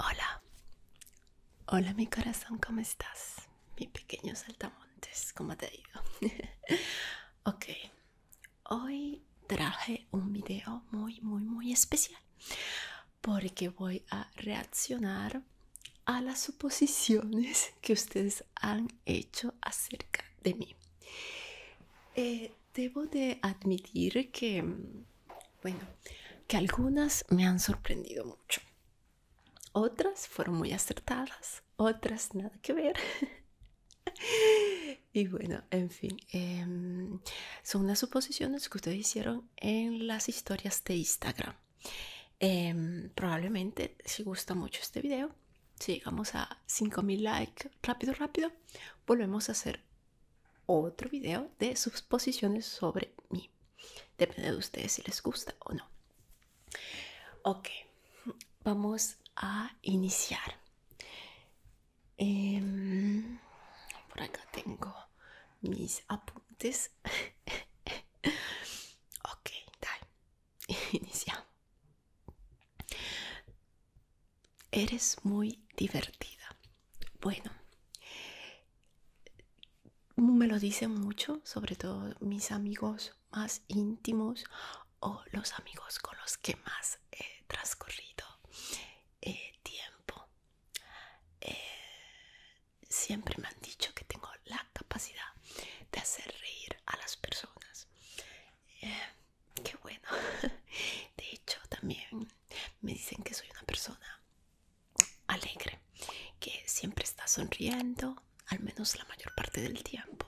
Hola, hola mi corazón, ¿cómo estás? Mi pequeño saltamontes, ¿cómo te ha ok, hoy traje un video muy, muy, muy especial porque voy a reaccionar a las suposiciones que ustedes han hecho acerca de mí. Eh, debo de admitir que, mm, bueno, que algunas me han sorprendido mucho. Otras fueron muy acertadas, otras nada que ver. y bueno, en fin, Em, son unas suposiciones que ustedes hicieron en las historias de Instagram. Em, probablemente si gusta mucho este video, si llegamos a 5000 likes rápido, rápido, volvemos a hacer otro video de suposiciones sobre mí. Depende de ustedes si les gusta o no. Ok, vamos a iniciar. Em, por acá tengo mis apuntes. ok, dale. Iniciamos. Eres muy divertida. Bueno, me lo dicen mucho, sobre todo mis amigos más íntimos o los amigos con los que más he transcurrido eh, tiempo. Eh, siempre me han dicho que tengo la capacidad de hacer reír a las personas. Eh, qué bueno. De hecho, también me dicen que soy una persona alegre, que siempre está sonriendo, al menos la mayor parte del tiempo.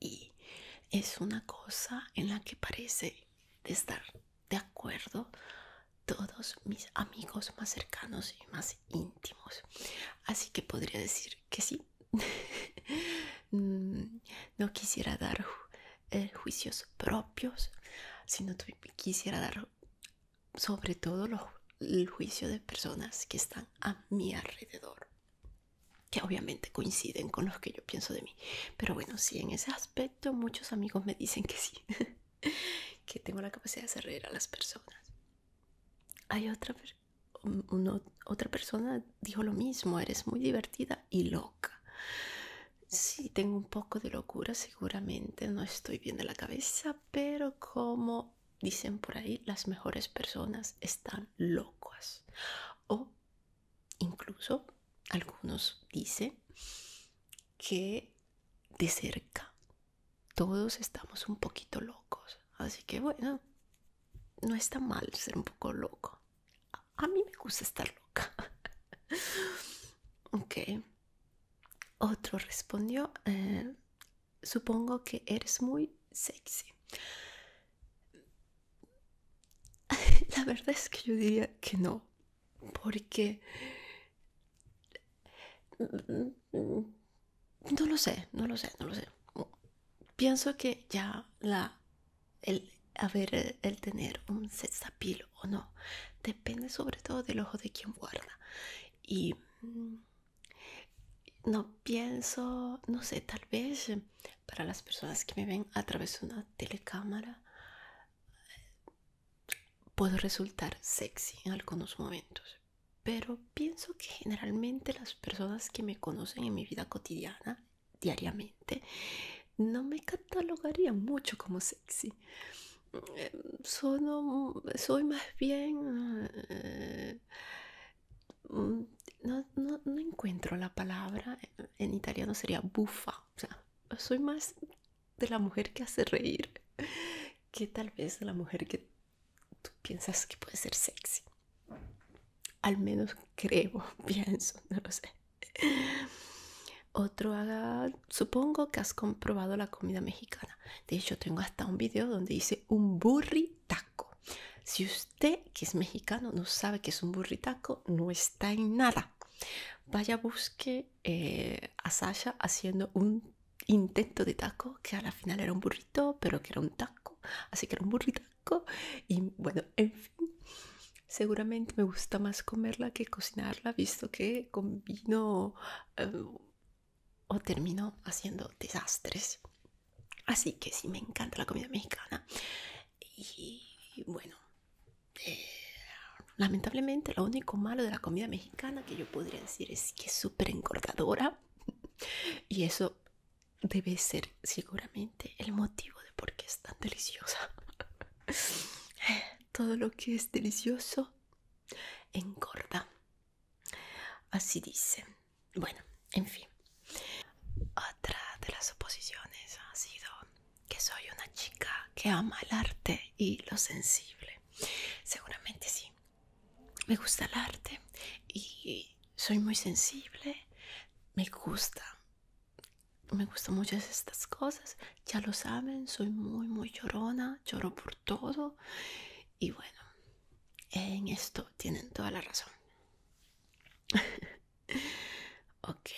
Y es una cosa en la que parece de estar de acuerdo todos mis amigos más cercanos y más íntimos así que podría decir que sí mm, no quisiera dar eh, juicios propios sino quisiera dar sobre todo los, juicios juicio de personas que están a mi alrededor que obviamente coinciden con los que yo pienso de mí pero bueno sí en ese aspecto muchos amigos me dicen que sí, que tengo la capacidad de hacer reír a las personas. Hay otra, otra persona dijo lo mismo, eres muy divertida y loca. Sí, tengo un poco de locura, seguramente no estoy bien de la cabeza, pero como dicen por ahí, las mejores personas están locas o Incluso algunos dicen que de cerca todos estamos un poquito locos. Así que bueno, no está mal ser un poco loco. A, mí me gusta estar loca. ok. Otro respondió, eh, supongo que eres muy sexy. La verdad es que yo diría que no porque... No lo sé, no lo sé, no lo sé. Pienso que ya la, el el tener un sexapil o no, depende sobre todo del ojo de quien guarda. Y mm, no pienso, no sé, tal vez para las personas que me ven a través de una telecámara, puedo resultar sexy en algunos momentos, pero pienso que generalmente las personas que me conocen en mi vida cotidiana, diariamente, no me catalogarían mucho como sexy. Mm, soy más bien... Eh, mm, no, encuentro la palabra, eh, en italiano sería bufa soy más de la mujer que hace reír que tal vez la mujer que tú piensas que puede ser sexy. Al menos creo, pienso, no lo sé. Otro haga, supongo que has comprobado la comida mexicana. De hecho, tengo hasta un video donde dice un burritaco. Si usted que es mexicano no sabe que es un burritaco, no está en nada vaya busque eh, a Sasha haciendo un intento de taco que al la final era un burrito, pero que era un taco, así que era un burritaco. Y bueno, en fin, seguramente me gusta más comerla que cocinarla, visto que combino em, o termino haciendo desastres. Así que sí, me encanta la comida mexicana. Y bueno, lamentablemente lo único malo de la comida mexicana que yo podría decir es que es súper engordadora y eso debe ser seguramente el motivo de por qué es tan deliciosa. Todo lo que es delicioso engorda. Así dice. Bueno, en fin. Otra de las oposiciones ha sido que soy una chica que ama el arte y lo sensible. Seguramente sí. Me gusta el arte y soy muy sensible. Me gusta. Me gustan muchas estas cosas. Ya lo saben, soy muy, muy llorona. Lloro por todo. Y bueno, en esto tienen toda la razón. ok.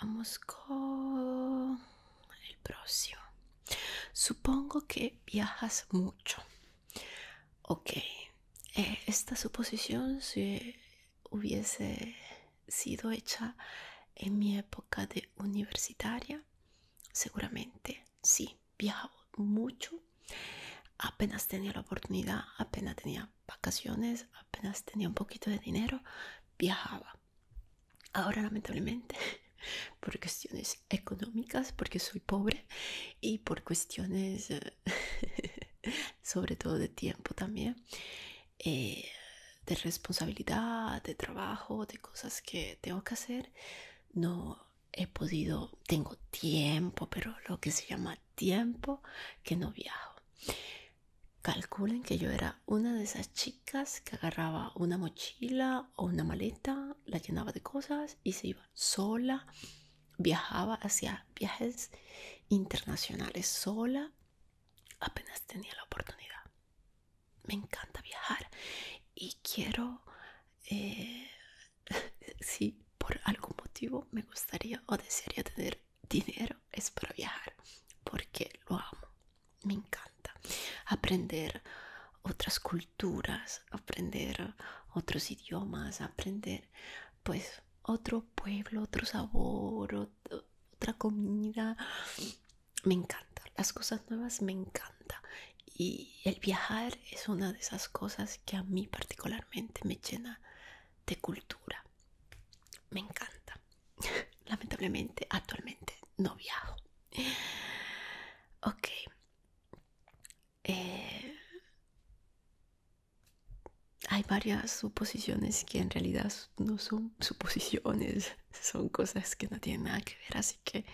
Vamos con el próximo. Supongo que viajas mucho. Ok, eh, esta suposición si hubiese sido hecha en mi época de universitaria. Seguramente, sí, viajaba mucho. Apenas tenía la oportunidad, apenas tenía vacaciones, apenas tenía un poquito de dinero, viajaba. Ahora lamentablemente, por cuestiones económicas, porque soy pobre y por cuestiones eh, sobre todo de tiempo también, eh, de responsabilidad, de trabajo, de cosas que tengo que hacer, no he podido, tengo tiempo, pero lo que se llama tiempo que no viajo. Calculen que yo era una de esas chicas que agarraba una mochila o una maleta, la llenaba de cosas y se iba sola. Viajaba hacia viajes internacionales sola. Apenas tenía la oportunidad. Me encanta viajar y quiero... Eh, si por algún motivo me gustaría o desearía tener dinero es para viajar porque lo amo, me encanta aprender otras culturas, aprender otros idiomas, aprender pues otro pueblo, otro sabor, otra comida. Me encanta, las cosas nuevas me encanta y el viajar es una de esas cosas que a mí particularmente me llena de cultura me encanta. Lamentablemente, actualmente no viajo. Ok. Eh, hay varias suposiciones que en realidad no son suposiciones, son cosas que no tienen nada que ver, así que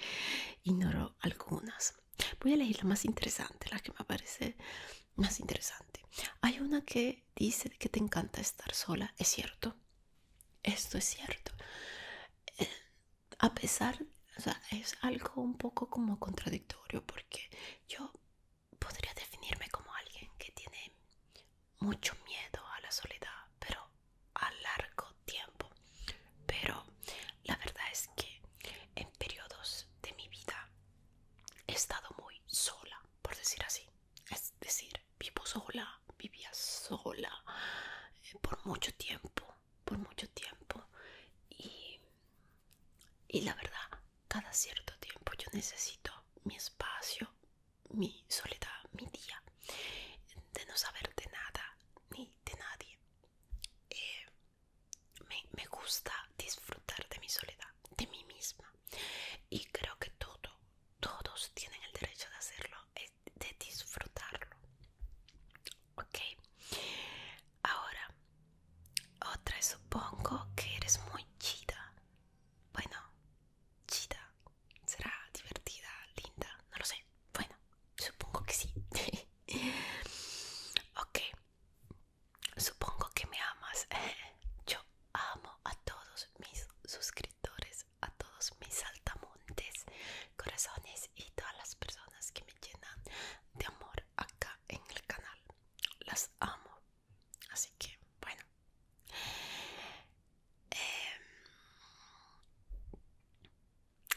ignoro algunas. Voy a elegir la más interesante, la que me parece más interesante. Hay una que dice que te encanta estar sola. Es cierto. Esto es cierto. Eh, a pesar, es algo un poco como contradictorio porque yo podría definirme como alguien que tiene mucho miedo a la soledad, pero a largo tiempo. Pero la verdad es que en periodos de mi vida he estado muy sola por decir así. Es decir, vivo sola, vivía sola eh, por mucho tiempo, por mucho tiempo. Y, la verdad, cada cierto tiempo yo necesito mi espacio, mi soledad, mi día, de no saber de nada ni de nadie. Eh, me gusta disfrutar de mi soledad de mí misma y creo que todo, todos tienen el derecho de hacerlo, eh, de disfrutarlo. Ok, ahora otra, supongo que eres muy chida. Bueno, chida, será divertida, linda, no lo sé. Bueno, supongo que sí. ok, Supongo que me amas. Yo amo a todos mis suscriptores, a todos mis altamontes, corazones y todas las personas que me llenan de amor acá en el canal. Las amo. Así que, bueno. Em,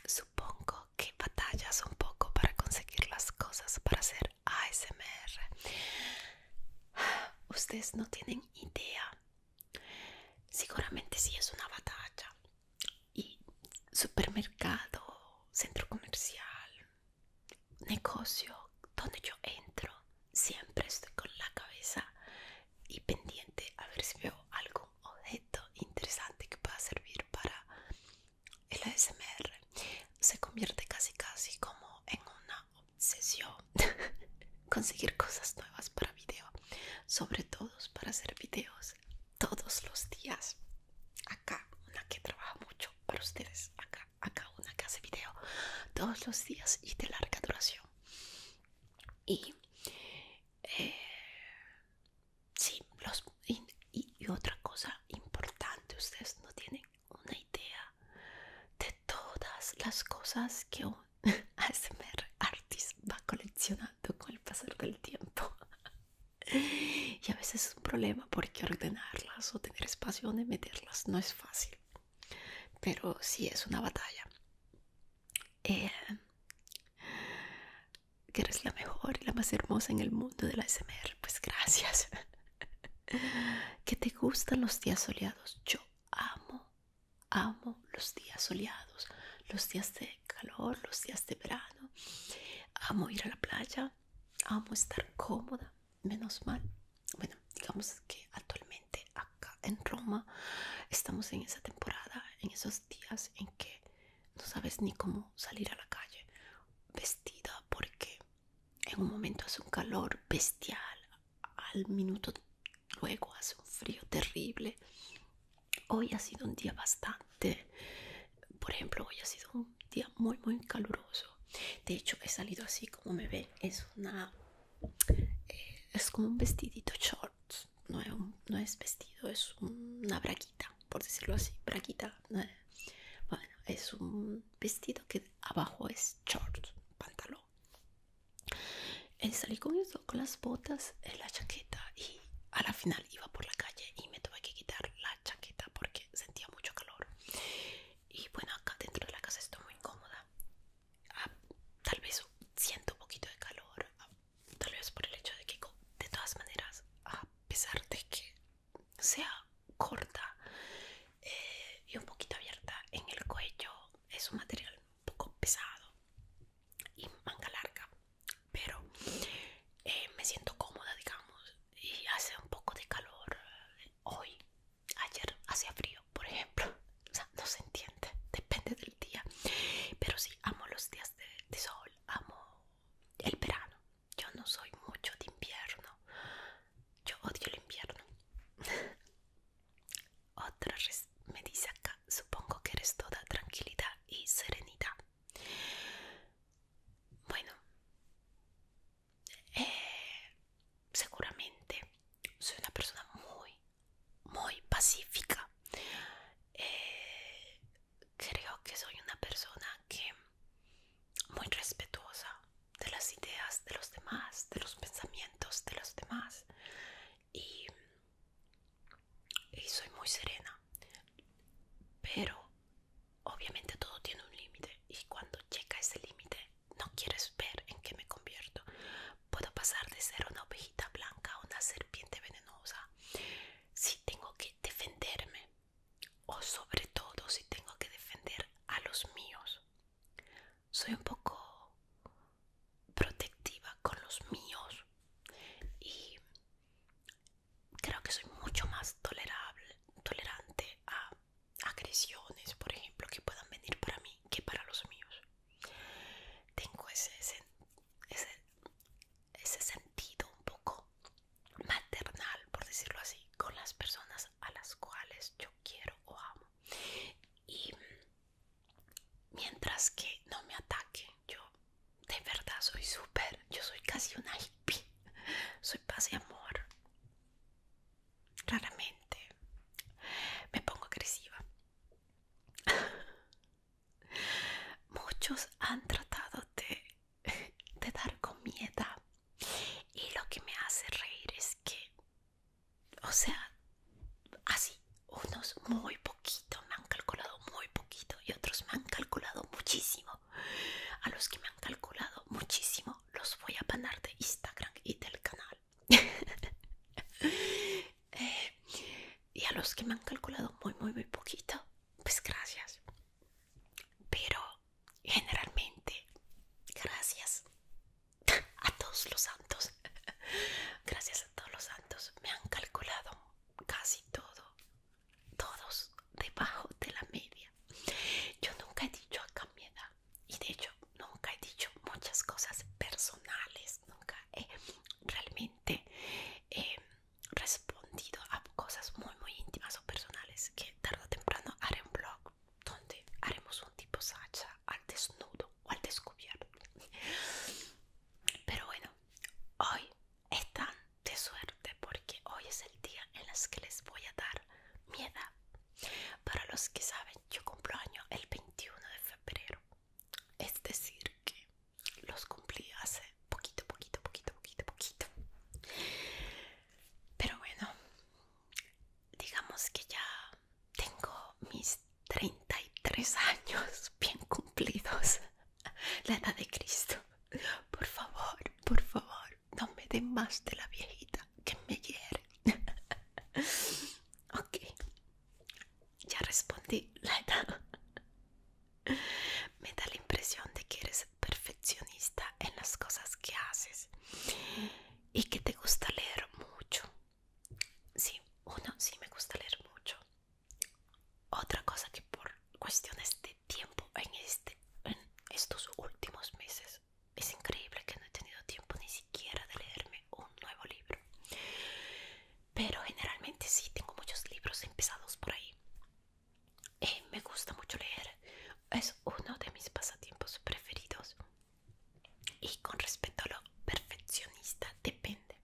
supongo que batallas un poco para conseguir las cosas para hacer ASMR Ustedes no tienen idea. Seguramente sí es una batalla. Y supermercado, centro comercial, negocio, donde yo entro, siempre estoy con la cabeza y pendiente a ver si veo algún objeto interesante que pueda servir para el ASMR se convierte casi casi como en una obsesión conseguir cosas nuevas para video sobre todo para hacer videos todos los días acá una que trabaja mucho para ustedes acá una que hace video todos los días y de larga duración y eh, y otra cosa importante ustedes no tienen una idea de todas las cosas que un ASMR artist va coleccionando con el pasar del tiempo y a veces es un problema porque ordenarlas o tener espacio donde meterlas no es fácil pero si es una batalla eh, que eres la mejor y la más hermosa en el mundo de del ASMR pues gracias que te gustan los días soleados. Yo amo, amo los días soleados, los días de calor, los días de verano. Amo ir a la playa, amo estar cómoda, menos mal. Bueno, digamos que actualmente acá en Roma estamos en esa temporada, en esos días en que no sabes ni cómo salir a la calle vestida porque en un momento hace un calor bestial, al minuto luego hace un frío terrible. Hoy ha sido un día bastante, por ejemplo, hoy ha sido un día muy, muy caluroso. De hecho, he salido así como me ve es una... Eh, es como un vestidito shorts no es, vestido, es una braquita, por decirlo así, braquita. Eh. Bueno, es un vestido que abajo es short, pantalón. Eh, salí con eso, con las botas, en eh, la chaqueta y a la final iba por la calle y me tuve que quitar la chaqueta porque sentía mucho calor. Y bueno, acá dentro de la casa estoy muy incómoda. Ah, tal vez siento un poquito de calor, ah, tal vez por el hecho de que de todas maneras, a pesar de que sea corta eh, y un poquito abierta en el cuello es un material un poco pesado y manga larga pero eh, me siento cómoda digamos y hace un poco de calor eh, hoy ayer hacía frío por ejemplo no se entiende depende del día pero sí amo los días de sol amo el verano yo no soy mucho de invierno. Yo odio el invierno. Otra me dice acá, supongo que eres toda tranquilidad y serenidad. Bueno, eh, seguramente soy una persona muy, muy pacífica. Eh, creo que soy una persona que muy respetuosa de las ideas de los demás, de los pensamientos de los demás. Y, y soy muy serena. Pero obviamente todo tiene un límite y cuando llega ese límite no quieres ver en qué me convierto. Puedo pasar de ser una ovejita blanca a una serpiente venenosa. Si tengo que defenderme o sobre todo si tengo que defender a los míos. Soy un poco protectiva con los míos y creo que soy mucho más tolerable, tolerante a agresiones, por ejemplo, que puedan venir para mí que para los míos. Tengo ese, ese sentido un poco maternal, por decirlo así, con las personas a las cuales yo quiero o amo. Y mientras que no me ataquen, yo de verdad soy súper, yo soy casi una hippie, soy paz y amor. Raramente me pongo agresiva. Muchos han tratado de de dar comida y lo que me hace reír es que o sea así unos muy poquito me han calculado muy poquito y otros me han calculado muchísimo a los que me han calculado muchísimo los voy a banar de instagram y del canal eh, y a los que me han calculado muy muy muy poquito pues gracias pero generalmente gracias a todos los santos gracias a todos los santos me han calculado casi todo todos debajo de la media yo nunca he dicho a mi edad y de hecho nunca he dicho muchas cosas personales nunca he realmente eh, respondido a cosas muy muy íntimas o personales que tarde o temprano haré un blog donde haremos un tipo sacha al desnudo o al descubierto. Pero bueno, hoy están de suerte porque hoy es el día en las que les voy a dar mi edad. Para los que saben, yo cumplo año el 21 de febrero. Es decir, que los cumplí hace poquito, poquito, poquito, poquito, poquito. Pero bueno, digamos que ya tengo mis 33 años bien cumplidos. La edad de Cristo. Por favor, por favor, no me den más de la viejita que me quiere ok, ya respondí la edad. Me da la impresión de que eres perfeccionista en las cosas que haces y que te gusta leer mucho. Sí, uno, sí me gusta leer mucho. Otra cosa que por cuestiones de tiempo en, este, en estos últimos meses es increíble que no he tenido tiempo ni siquiera de leerme un nuevo libro. Pero generalmente sí tengo muchos libros empezados por ahí y eh, me gusta mucho leer, es uno de mis pasatiempos preferidos. Y con respecto a lo perfeccionista, depende.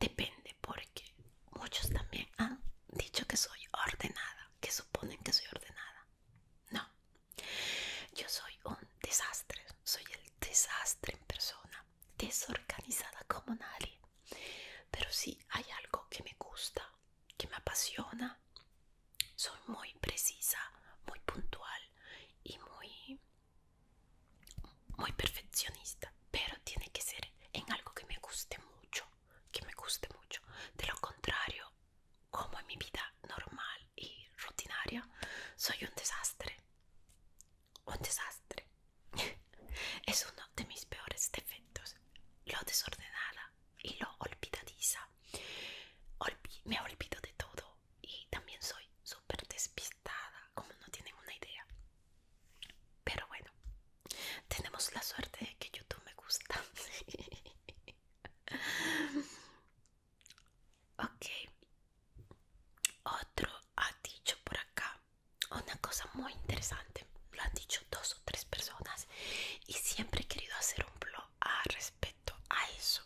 Depende porque muchos también han dicho que soy ordenada, que suponen que soy ordenada. No, yo soy un desastre, soy el desastre en persona, desorganizada como nadie. Pero si hay algo que me gusta que me apasiona. Soy muy precisa, muy puntual y muy, muy perfeccionista, pero tiene que ser en algo que me guste mucho, que me guste mucho. De lo contrario, como en mi vida normal y rutinaria, soy un desastre. Un desastre. Es uno de mis peores defectos, lo desordenada y lo olvidadiza. me olvido de todo y también soy súper despistada, como no tienen una idea. Pero bueno, tenemos la suerte de que YouTube me gusta. ok. Otro ha dicho por acá una cosa muy interesante. Lo han dicho dos tres personas y siempre he querido hacer un blog a respecto a eso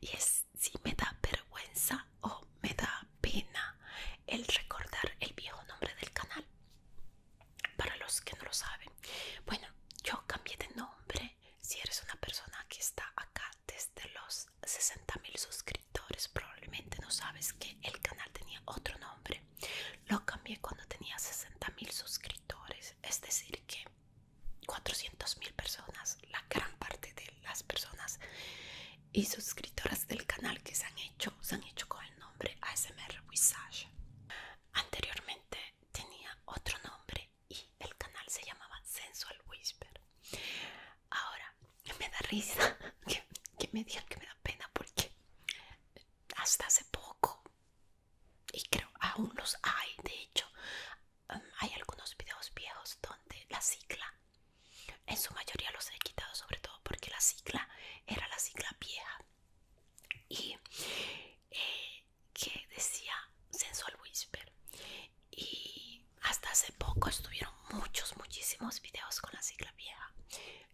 y es si me da vergüenza o me da pena el recordar el viejo nombre del canal para los que no lo saben bueno yo cambié de nombre si eres una persona que está acá desde los 60.000 mil suscriptores probablemente no sabes que el canal tenía otro nombre lo cambié cuando tenía 60.000 suscriptores, es decir, que 400.000 personas, la gran parte de las personas y suscriptoras del canal que se han hecho, se han hecho con el nombre ASMR Visage. Anteriormente tenía otro nombre y el canal se llamaba Sensual Whisper. Ahora me da risa que, que me digan que me da pena porque hasta hace poco y creo aún los hay de hecho hay algunos videos viejos donde la sigla en su mayoría los he quitado sobre todo porque la sigla era la sigla vieja y eh, que decía sensual whisper y hasta hace poco estuvieron muchos muchísimos videos con la sigla vieja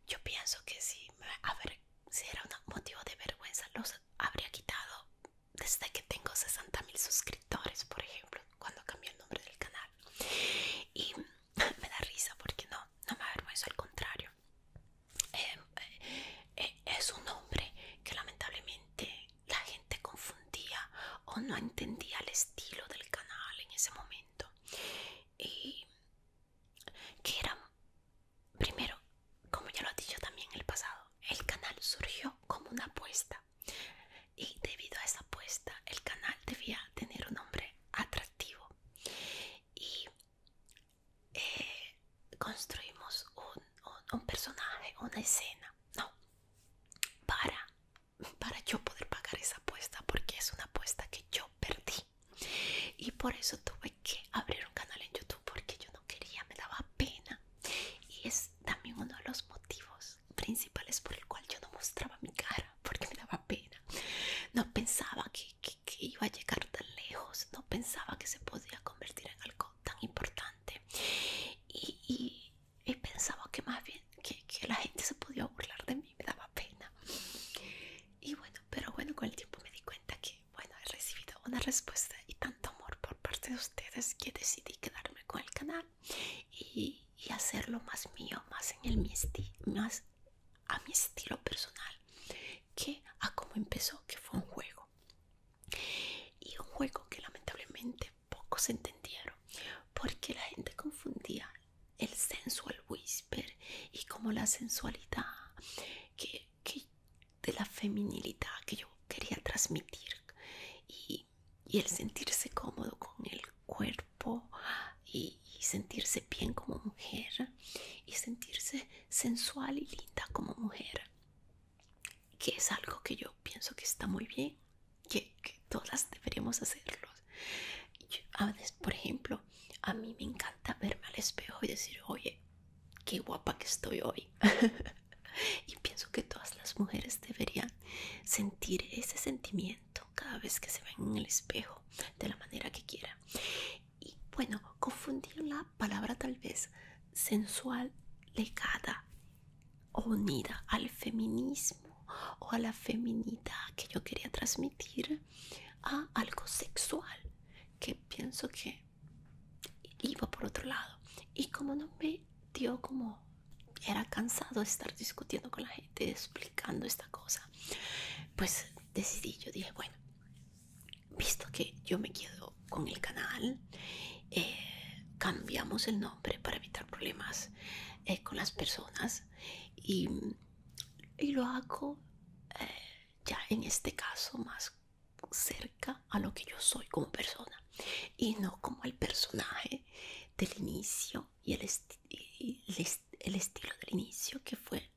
yo pienso que si me, ver si era un motivo de vergüenza, los habría quitado desde que tengo 60.000 suscriptores, por ejemplo, cuando cambié el nombre del canal. Y me da risa porque no, no me avergüenzo, al contrario. Em, eh, eh, es un nombre que lamentablemente la gente confundía o no entendía el estilo del canal en ese momento. Y que primero, como ya lo he dicho también en el pasado, el canal surgió como una apuesta y debido a esa apuesta el canal debía tener un nombre atractivo y eh, construimos un, un personaje, una escena, no, para, para yo poder pagar esa apuesta porque es una apuesta que yo perdí y por eso tuve que abrir un canal en YouTube porque yo no quería, me daba pena y es también uno de los motivos principales por el cual yo no mostraba mi cara porque me daba pena no pensaba que, iba a llegar tan lejos no pensaba que se podía convertir en algo tan importante y, pensaba que más bien que la gente se podía burlar de mí me daba pena y bueno pero bueno, con el tiempo me di cuenta que, bueno, he recibido una respuesta y tanto amor por parte de ustedes que decidí quedarme con el canal y, hacerlo más mío, más en el mi más a mi estilo personal que a cómo empezó, que fue un juego. Y un juego que lamentablemente pocos entendieron porque la gente confundía el sensual whisper y como la sensualidad que, de la feminilidad que yo quería transmitir y, el sentirse cómodo con el cuerpo y, sentirse bien como mujer y sentirse sensual y linda como mujer que es algo que yo pienso que está muy bien que, todas deberíamos hacerlo a veces, por ejemplo a mí me encanta verme al espejo y decir, oye, qué guapa que estoy hoy. y pienso que todas las mujeres deberían sentir ese sentimiento cada vez que se ven en el espejo, de la manera que quieran. Y bueno, confundir la palabra tal vez sensual legada o unida al feminismo o a la feminidad que yo quería transmitir a algo sexual que pienso que iba por otro lado y como no me dio como era cansado de estar discutiendo con la gente explicando esta cosa pues decidí yo dije bueno visto que yo me quedo con el canal eh, cambiamos el nombre para evitar problemas eh, con las personas y, lo hago eh, ya en este caso más cerca a lo que yo soy como persona y no como el personaje del inicio y el, estilo del inicio que fue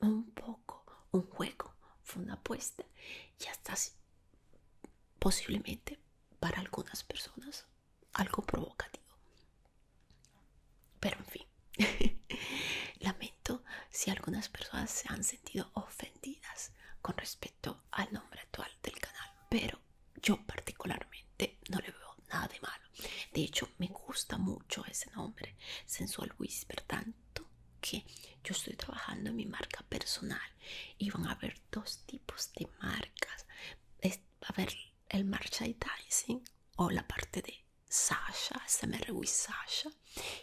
un poco un juego fue una apuesta y hasta posiblemente para algunas personas algo provocativo pero en fin, lamento si algunas personas se han sentido ofendidas con respecto al nombre actual del canal, pero yo particularmente no le veo nada de malo. De hecho, me gusta mucho ese nombre, Sensual Whisper, tanto que yo estoy trabajando en mi marca personal y van a haber dos tipos de marcas. va a haber el merchandising o la parte de Sasha, me with Sasha,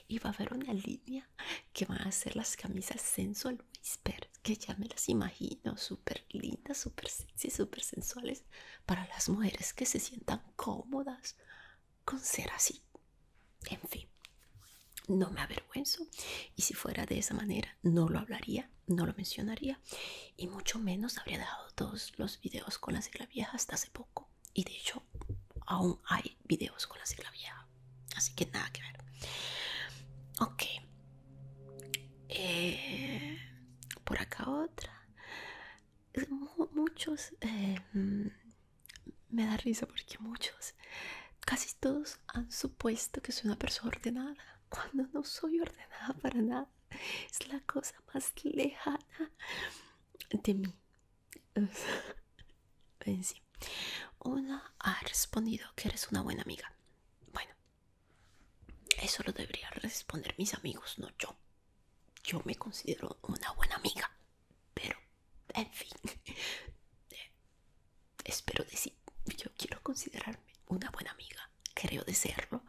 y va a haber una línea que van a ser las camisas sensual whisper, que ya me las imagino, súper lindas, súper sexy, súper sensuales, para las mujeres que se sientan cómodas con ser así. En fin, no me avergüenzo, y si fuera de esa manera, no lo hablaría, no lo mencionaría, y mucho menos habría dejado todos los videos con la sigla vieja hasta hace poco y de hecho aún hay videos con la sigla vieja así que nada que ver ok eh, por acá otra muchos eh, me da risa porque muchos casi todos han supuesto que soy una persona ordenada cuando no soy ordenada para nada es la cosa más lejana de mí. sí. una ha respondido que eres una buena amiga. Bueno, eso lo debería responder mis amigos, no yo. Yo me considero una buena amiga, pero en fin, espero decir, yo quiero considerarme una buena amiga, creo de serlo,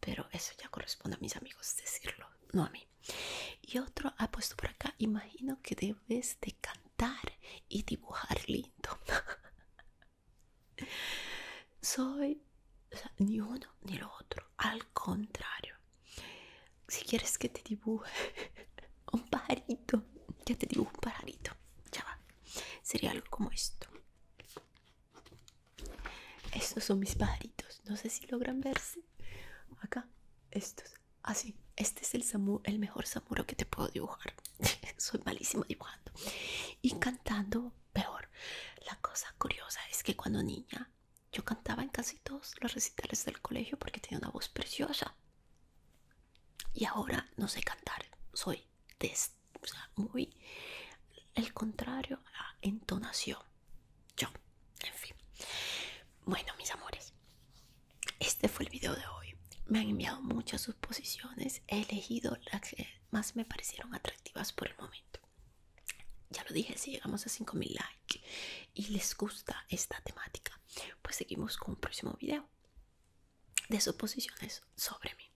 pero eso ya corresponde a mis amigos decirlo, no a mí. Y otro ha ah, puesto por acá, imagino que debes de cantar y dibujar lindo. Soy ni uno ni lo otro, al contrario. Si quieres que te dibuje un parito ya te dibujo un pajarito, ya va. Sería algo como esto. Estos son mis pajaritos. No sé si logran verse. Acá, estos. Así. Ah, este es el, samu el mejor samuro que te puedo dibujar. Soy malísimo dibujando. Y cantando, peor. La cosa curiosa es que cuando niña, yo cantaba en casi todos los recitales del colegio porque tenía una voz preciosa. Y ahora no sé cantar. Soy des este o sea, muy el contrario a la entonación. Yo, en fin. Bueno, mis amores, este fue el video de hoy. Me han enviado muchas suposiciones. He elegido las que más me parecieron atractivas por el momento. Ya lo dije, si llegamos a 5000 likes y les gusta esta temática, pues seguimos con un próximo video de suposiciones sobre mí.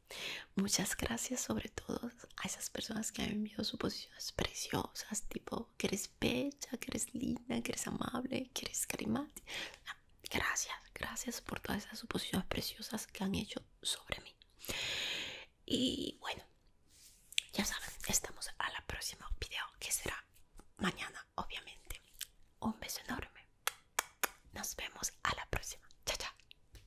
Muchas gracias sobre todo a esas personas que han enviado suposiciones preciosas, tipo que eres bella, que eres linda, que eres amable, que eres carismática. Gracias, gracias por todas esas suposiciones preciosas que han hecho sobre mí. Y bueno, ya saben, estamos a la próxima video que será mañana, obviamente. Un beso enorme. Nos vemos a la próxima. Chao, chao.